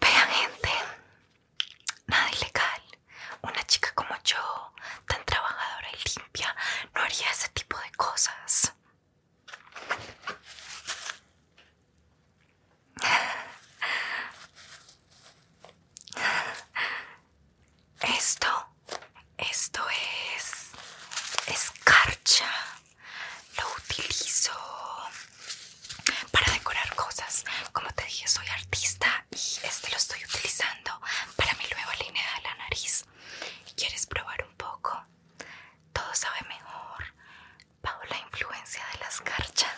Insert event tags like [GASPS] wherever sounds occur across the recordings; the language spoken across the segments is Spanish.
Vean gente, nada ilegal. Una chica como yo, tan trabajadora y limpia, no haría ese tipo de cosas. Esto, esto es escarcha. Lo utilizo para decorar cosas. Como te dije, soy artista y este lo estoy utilizando para mi nueva línea de la nariz. ¿Quieres probar un poco? Todo sabe mejor bajo la influencia de la escarcha.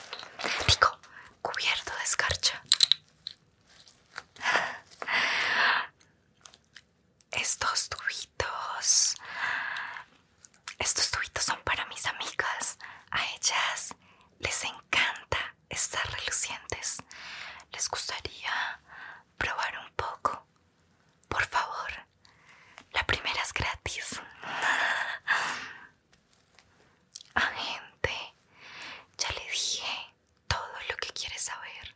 Digo, cubierto de escarcha. [LAUGHS] Estos tubitos estos tubitos son para mis amigas. A ellas les encanta estar relucientes. ¿Les gustaría probar un poco? Por favor. La primera es gratis. A [LAUGHS] ah, gente, ya le dije todo lo que quiere saber.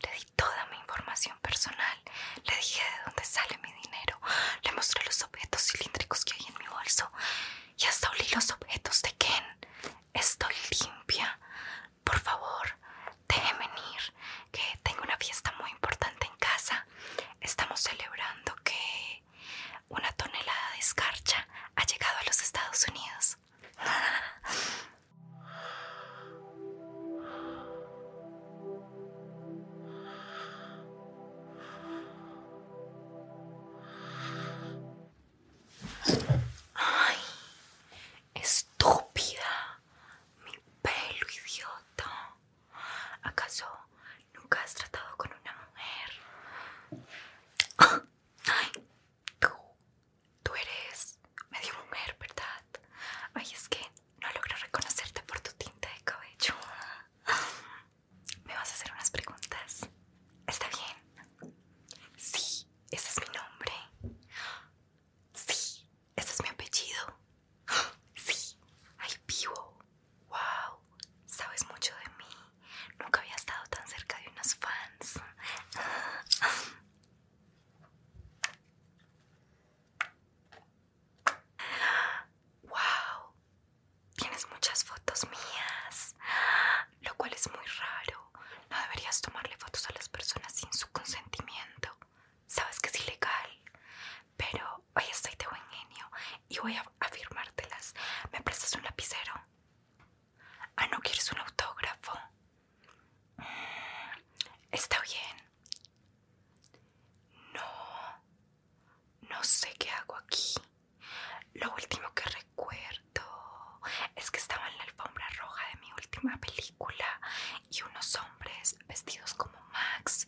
Le di toda mi información personal. Le dije de dónde sale mi dinero. Le mostré los objetos cilíndricos que hay en mi bolso. Y hasta olí los objetos de Ken. Estoy limpia. Por favor, déjenme venir. Que tengo una fiesta muy importante en casa. Estamos celebrando que una tonelada de escarcha ha llegado a los Estados Unidos. [LAUGHS] ¡Ay! ¡Estúpida! ¡Mi pelo, idiota! ¿Acaso nunca has tratado con una mujer? ¡Ay! ¡Tú eres medio mujer, verdad? ¡Ay, es que.! No logro reconocerte por tu tinta de cabello. ¿Me vas a hacer unas preguntas? ¿Está bien? Sí, ese es mi nombre. Sí, ese es mi apellido. Sí, Ay, vivo. Wow, sabes mucho de mí. Nunca había estado tan cerca de unos fans. Wow, tienes muchas fotos mías, lo cual es muy raro. No deberías tomarle fotos a las personas sin su consentimiento. Sabes que es ilegal, pero hoy estoy de buen genio y voy a firmártelas. ¿Me prestas un lapicero? Ah, ¿no quieres un autógrafo? Mm, está bien. No, no sé qué hago aquí. Lo último que recuerdo es que estaba en la alfombra roja de mi última película y unos hombres vestidos como Max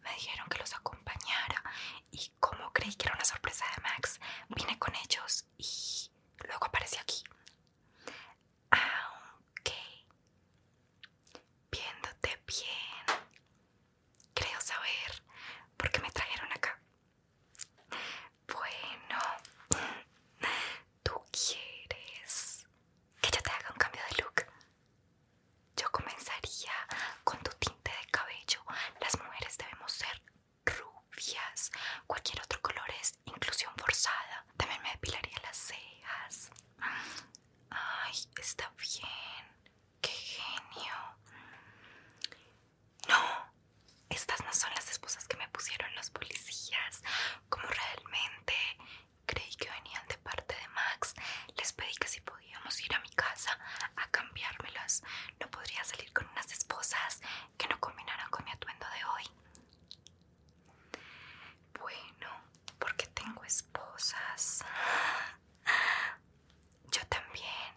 me dijeron que los acompañara y como creí que era una sorpresa de Max, vine con ellos y luego aparecí aquí. Ok. Viéndote bien. Creo saber por qué me trajeron acá. Bueno, ¿tú quieres que yo te haga un cambio de look? Yo comenzaría con tu tinte de cabello. Las mujeres debemos ser rubias. Cualquier otro color es inclusión forzada. También me depilaría las cejas. Ay, está bien. Qué genio. Mm. No, estas no son las esposas que me pusieron los policías. Como realmente creí que venían de parte de Max, les pedí que si podíamos ir a mi casa a cambiármelas. No podría salir con unas esposas que no combinaran con mi atuendo de hoy. Bueno, porque tengo esposas. Yo también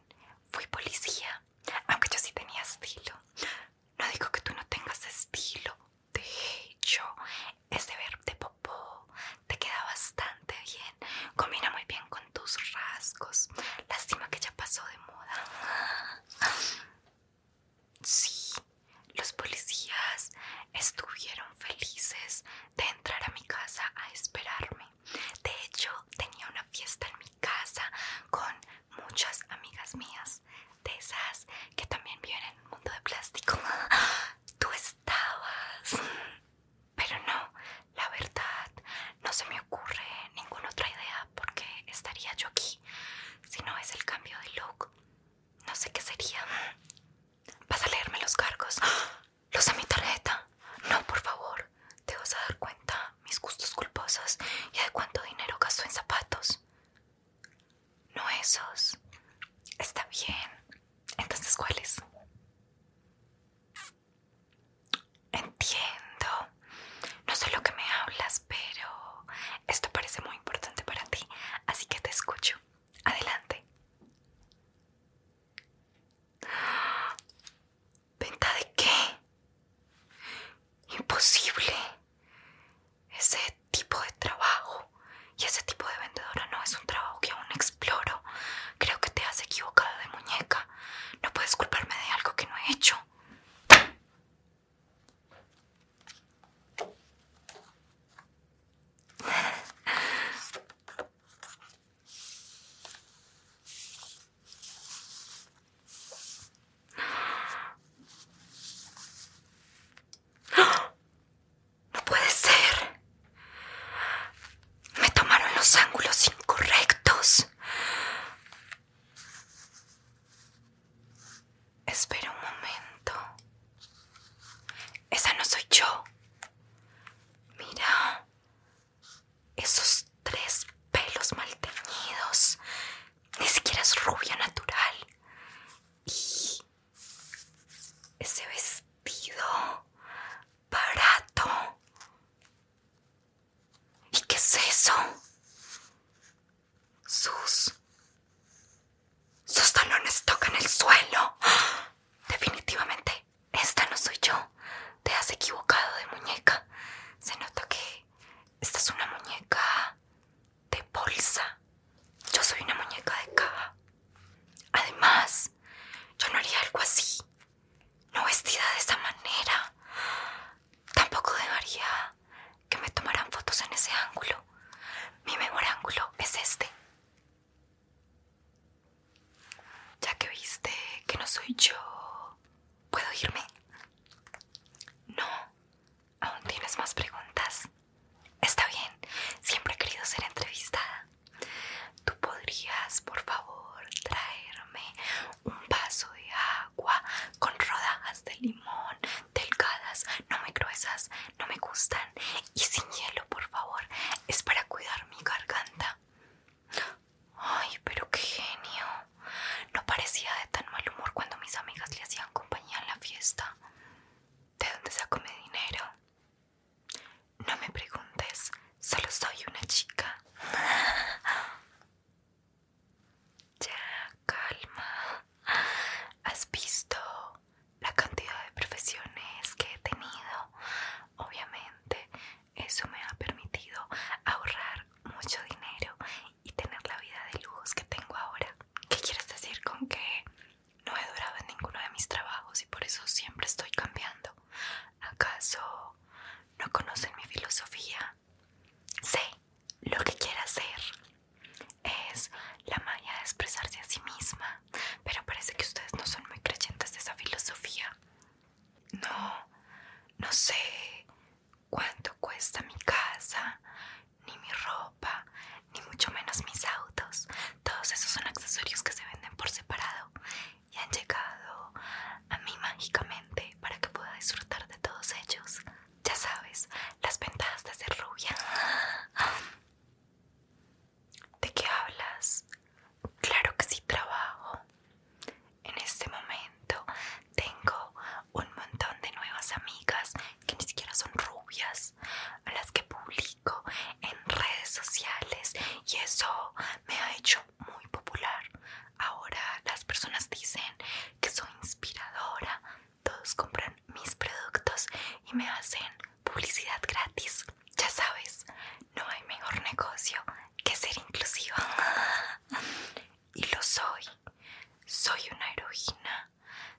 fui policía, aunque yo sí tenía estilo. No digo que tú no tengas estilo. De hecho, ese verde popó te queda bastante bien. Combina muy bien con tus rasgos. Lástima que ya pasó de moda. Sí, los policías estuvieron felices de entrar a mi casa a esperarme. De hecho, tenía una fiesta en mi casa con muchas amigas mías, de esas que también viven en el mundo de plástico. [GASPS] Tú estabas. Pero no, la verdad, no se me ocurre ninguna otra idea porque estaría yo aquí. Si no es el cambio de look, no sé qué sería. ¿Vas a leerme los cargos? ¿Los a mi tarjeta? No, por favor. Te vas a dar cuenta mis gustos culposos y de cuánto dinero gasto en zapatos. No esos. Está bien. Entonces, ¿cuáles? Entiendo. No sé lo que me hablas, pero esto parece muy importante para ti, así que te escucho. Adelante. ¿Venta de qué? Imposible. Ese tipo de trabajo y ese tipo de vendedora no es un trabajo que aún exploro. Creo que te has equivocado de muñeca. No puedes culparme de algo que no he hecho. No puede ser. Me tomaron los ángulos incorrectos. Espera un momento. Esa no soy yo. Mira. Esos tres pelos mal teñidos. Ni siquiera es rubia natural. Y ese vestido barato. ¿Y qué es eso? Sus... Sus talones tocan el suelo. Definitivamente, esta no soy yo. Te has equivocado de muñeca. Se nota que esta es una muñeca de bolsa. Yo soy una muñeca de caja. Además, yo no haría algo así. No vestida de esa manera. Tampoco debería que me tomarán fotos en ese ángulo. Mi mejor ángulo es este. Ya que viste que no soy yo, ¿puedo irme? No, aún tienes más preguntas. Está bien, siempre he querido ser entrevistada. ¿Tú podrías, por favor, traerme un vaso de agua con rodajas de limón, delgadas, no me gruesas, no me gustan. Y sin hielo, por favor, es para cuidar mi garganta. Ay, pero qué genio. No parecía de tan mal humor cuando mis amigas le hacían compañía en la fiesta. ¿De dónde saco mi dinero? No me preguntes, solo soy una chica. Ya, calma. ¿Has visto la cantidad de profesiones que he tenido? Obviamente, eso me ha permitido ahorrar mucho dinero y tener la vida de lujos que tengo ahora. ¿Qué quieres decir con que no he durado en ninguno de mis trabajos y por eso siempre estoy cambiando? ¿Acaso no conocen mi filosofía Sé lo que quiere hacer. Es la magia de expresarse a sí misma. Pero parece que ustedes no son muy creyentes de esa filosofía. No, no sé cuánto cuesta mi casa, ni mi ropa, ni mucho menos mis autos. Todos esos son accesorios que se venden por separado y han llegado a mí mágicamente para que pueda disfrutar de todos ellos ya sabes, las ventajas de ser rubia. ¿De qué hablas? Claro que sí trabajo. En este momento tengo un montón de nuevas amigas que ni siquiera son rubias, a las que publico en redes sociales y eso me ha hecho muy popular. Ahora las personas dicen que soy inspiradora, todos compran mis productos y me hacen publicidad gratis. Ya sabes, no hay mejor negocio que ser inclusiva. [LAUGHS] Y lo soy. Soy una heroína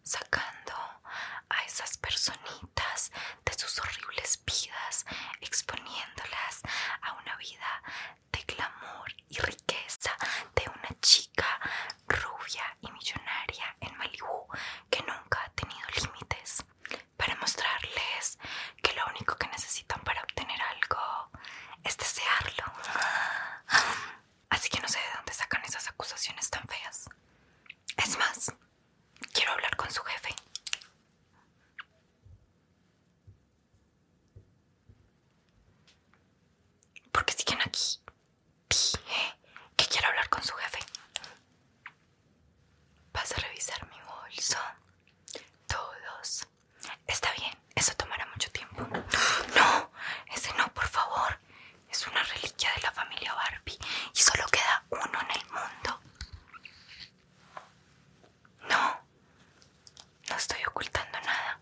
sacando a esas personitas de sus horribles vidas, exponiéndolas a una vida de glamour y riqueza de una chica rubia y millonaria en Malibu que nunca ha tenido límites para mostrarles que lo único que necesitan para obtener algo es desearlo. Así que no sé de dónde sacan esas acusaciones tan feas. Es más, quiero hablar con su jefe qué siguen aquí. Dije que quiero hablar con su jefe. Vas a revisar mi bolso. Todos. Está bien, eso tomará mucho tiempo. No, ese no, por favor. Es una reliquia de la familia Barbie y solo queda uno en el mundo. No, no estoy ocultando nada.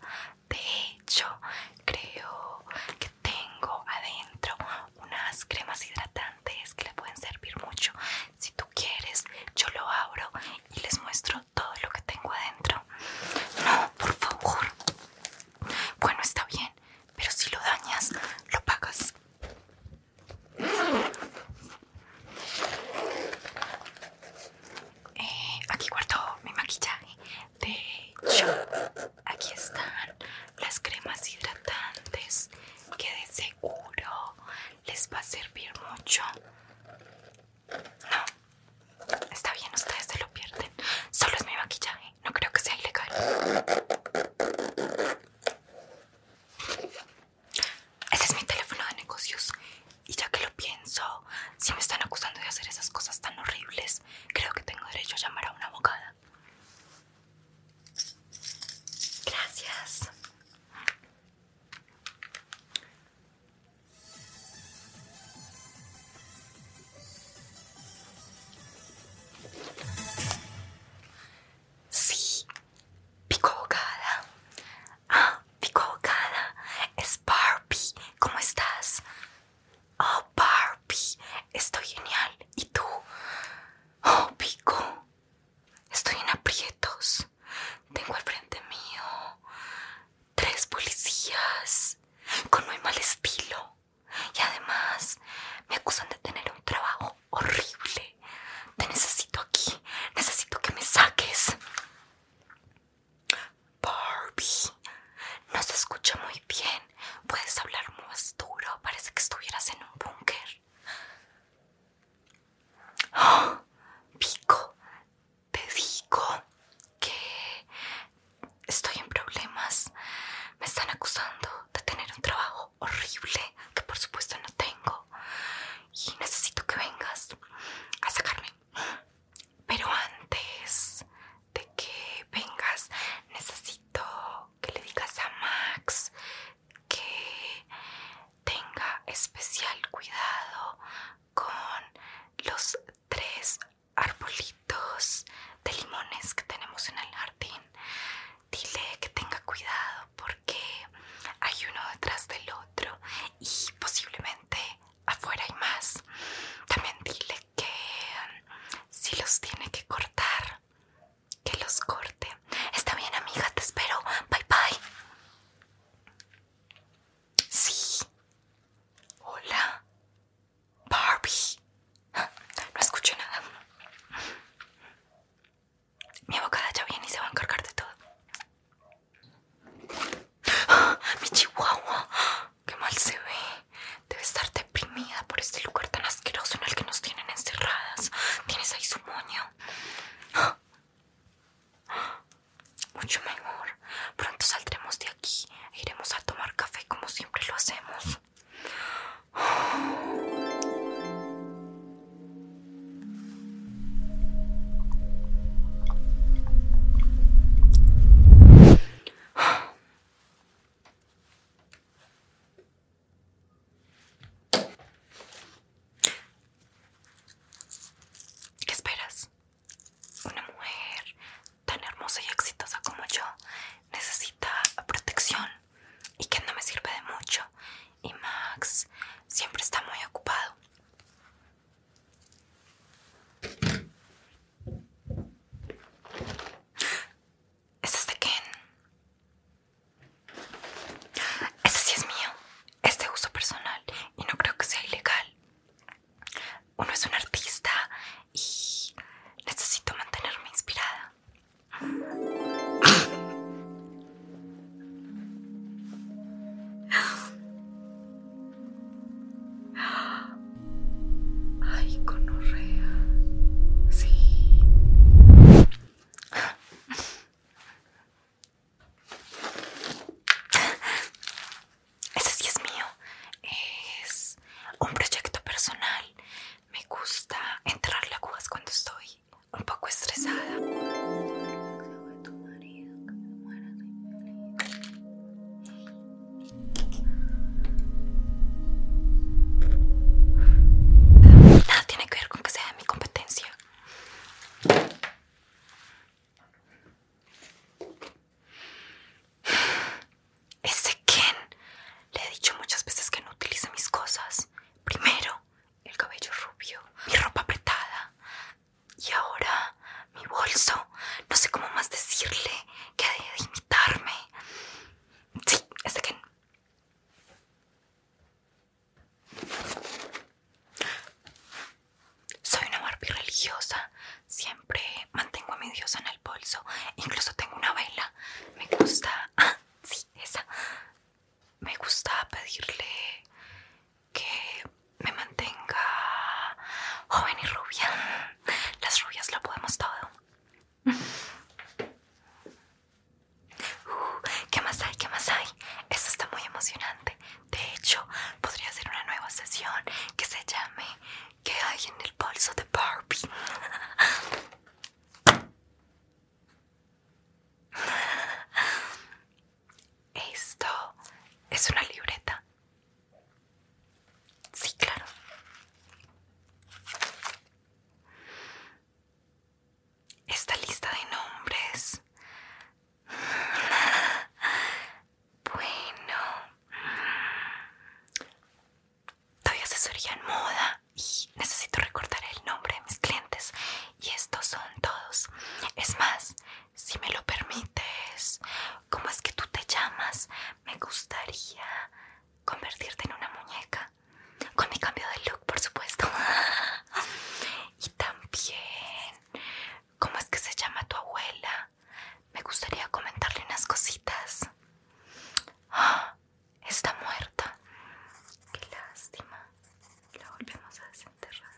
De hecho, creo que tengo adentro unas cremas hidratantes que le pueden servir mucho. Si tú quieres, yo lo abro y les muestro todo lo que tengo adentro. No, por favor. Bueno, está bien, pero si lo dañas, lo pagas. Eh, aquí guardo mi maquillaje de hecho aquí están las cremas hidratantes que de seguro les va a servir mucho no está bien ustedes se lo pierden solo es mi maquillaje no creo que sea ilegal ese es mi teléfono de negocios y ya que lo pienso, si me están acusando de hacer esas cosas tan horribles, creo que tengo derecho a llamar a una abogada. Gracias. Sí, pico abogada. Ah, Pico abogada es Barbie. ¿Cómo estás? Oh, Barbie, estoy genial. ¿Y tú? Oh, Pico, estoy en aprietos. Tengo al frente mío tres policías con muy mal estilo. Y además me acusan de tener un trabajo horrible. Te necesito aquí. Necesito que me saques. Barbie, no se escucha muy bien. Puedes hablar más duro. Parece que estuvieras en un búnker. ¡Ah! Pico, te digo que estoy en problemas. Me están acusando de tener un trabajo horrible que por supuesto no tengo. Y necesito que vengas a sacarme pero antes de que vengas, necesito que le digas a Max que tenga especial cuidado con los tres arbolitos de limones que tenemos en el jardín. Dile que tenga cuidado porque hay uno detrás del otro y posiblemente afuera y más. También dile que um, si los tiene que cortar, que los corte. Está bien, amiga, te espero. Bye bye. Sí. Hola. Barbie. No escucho nada. Mi abocada ya viene y se va a encargar de todo. ¡Mi chihuahua! ¡Qué mal se ve! Debe estar deprimida por este lugar tan asqueroso en el que nos tienen encerradas. Tienes ahí su moño. Mucho mejor. Pronto saldremos de aquí e iremos a tomar café como siempre lo hacemos. ¿Qué esperas? Una mujer tan hermosa y exitosa como yo necesita protección y que no me sirve de mucho. Y Max siempre está muy ocupado. ¿Este es de quién? Este sí es mío. Es de uso personal y no creo que sea ilegal. Uno es un artista y necesito mantenerme inspirada. Ay, con conorrea. Sí. Ese sí es mío. Es un proyecto personal. Me gusta enterrar las cuando estoy un poco estresada. Nada tiene que ver con que sea mi competencia. Ese Ken le he dicho muchas veces que no utilice mis cosas. Primero, el cabello rubio, mi ropa apretada y ahora mi bolso. No sé cómo más decirle que de imitarme. Sí, Soy una Barbie religiosa. Siempre mantengo a mi dios en el bolso. Incluso tengo una vela. Me gusta. Ah, sí, esa me gusta pedirle que me mantenga joven y rubia. Las rubias lo podemos todo. Uh, ¿Qué más hay? ¿Qué más hay? Esto está muy emocionante. De hecho, podría ser una nueva sesión que se llame ¿Qué hay en el bolso de Barbie? [LAUGHS] Esto es una libreta. Sí, claro. Esta lista de nombres. Bueno. Todavía se asesoría en moda y necesito recordar el nombre de mis clientes y estos son todos. Es más, si me lo permites, ¿cómo es que tú te llamas? Me gustaría convertirte en una muñeca. Con mi cambio de look, por supuesto. [LAUGHS] y también, ¿cómo es que se llama tu abuela? Me gustaría comentarle unas cositas. [GASPS] Ah, está muerta. Qué lástima. La volvemos a desenterrar.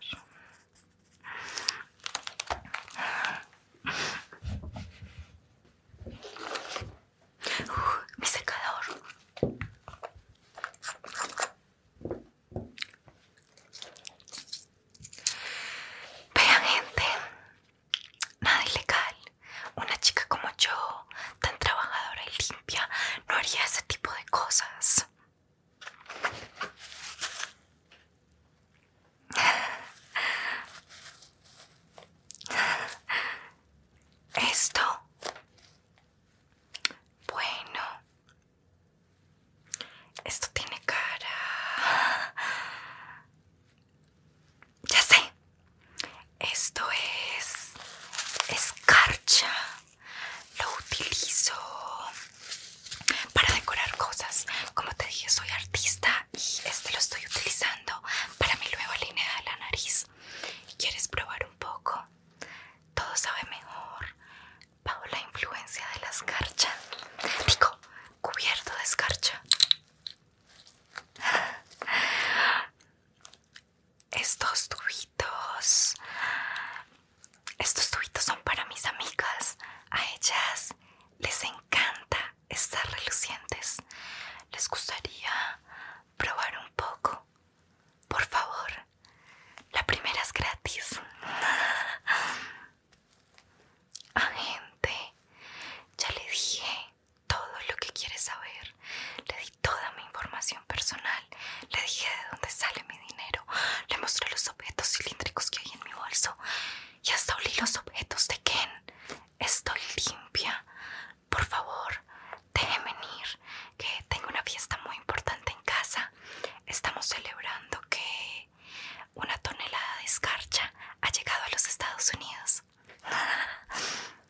mi secador. Vean gente, nada ilegal. Una chica como yo, tan trabajadora y no haría ese tipo de cosas. Esto. Bueno. Esto tiene cara... Ya sé. Esto es escarcha. Lo utilizo para decorar cosas. Como te dije, soy artista y este lo estoy utilizando para mi nueva línea de la nariz. ¿Quieres probar un poco? Todo sabe mejor bajo la influencia de la escarcha. Digo, cubierto de escarcha. [LAUGHS] estos tubitos. Estos tubitos son para mis amigas. A ellas les encanta estar relucientes. ¿Les gustaría probar un poco? Por favor. La primera es gratis. [LAUGHS] a gente, ya les dije todo lo que quiere saber, le di toda mi información personal, le dije de dónde sale mi dinero, le mostré los objetos cilíndricos que hay en mi bolso y hasta olí los objetos de Ken. Estoy limpia. Por favor, déjeme ir, que tengo una fiesta muy importante en casa. Estamos celebrando que una tonelada de escarcha ha llegado a los Estados Unidos. [LAUGHS]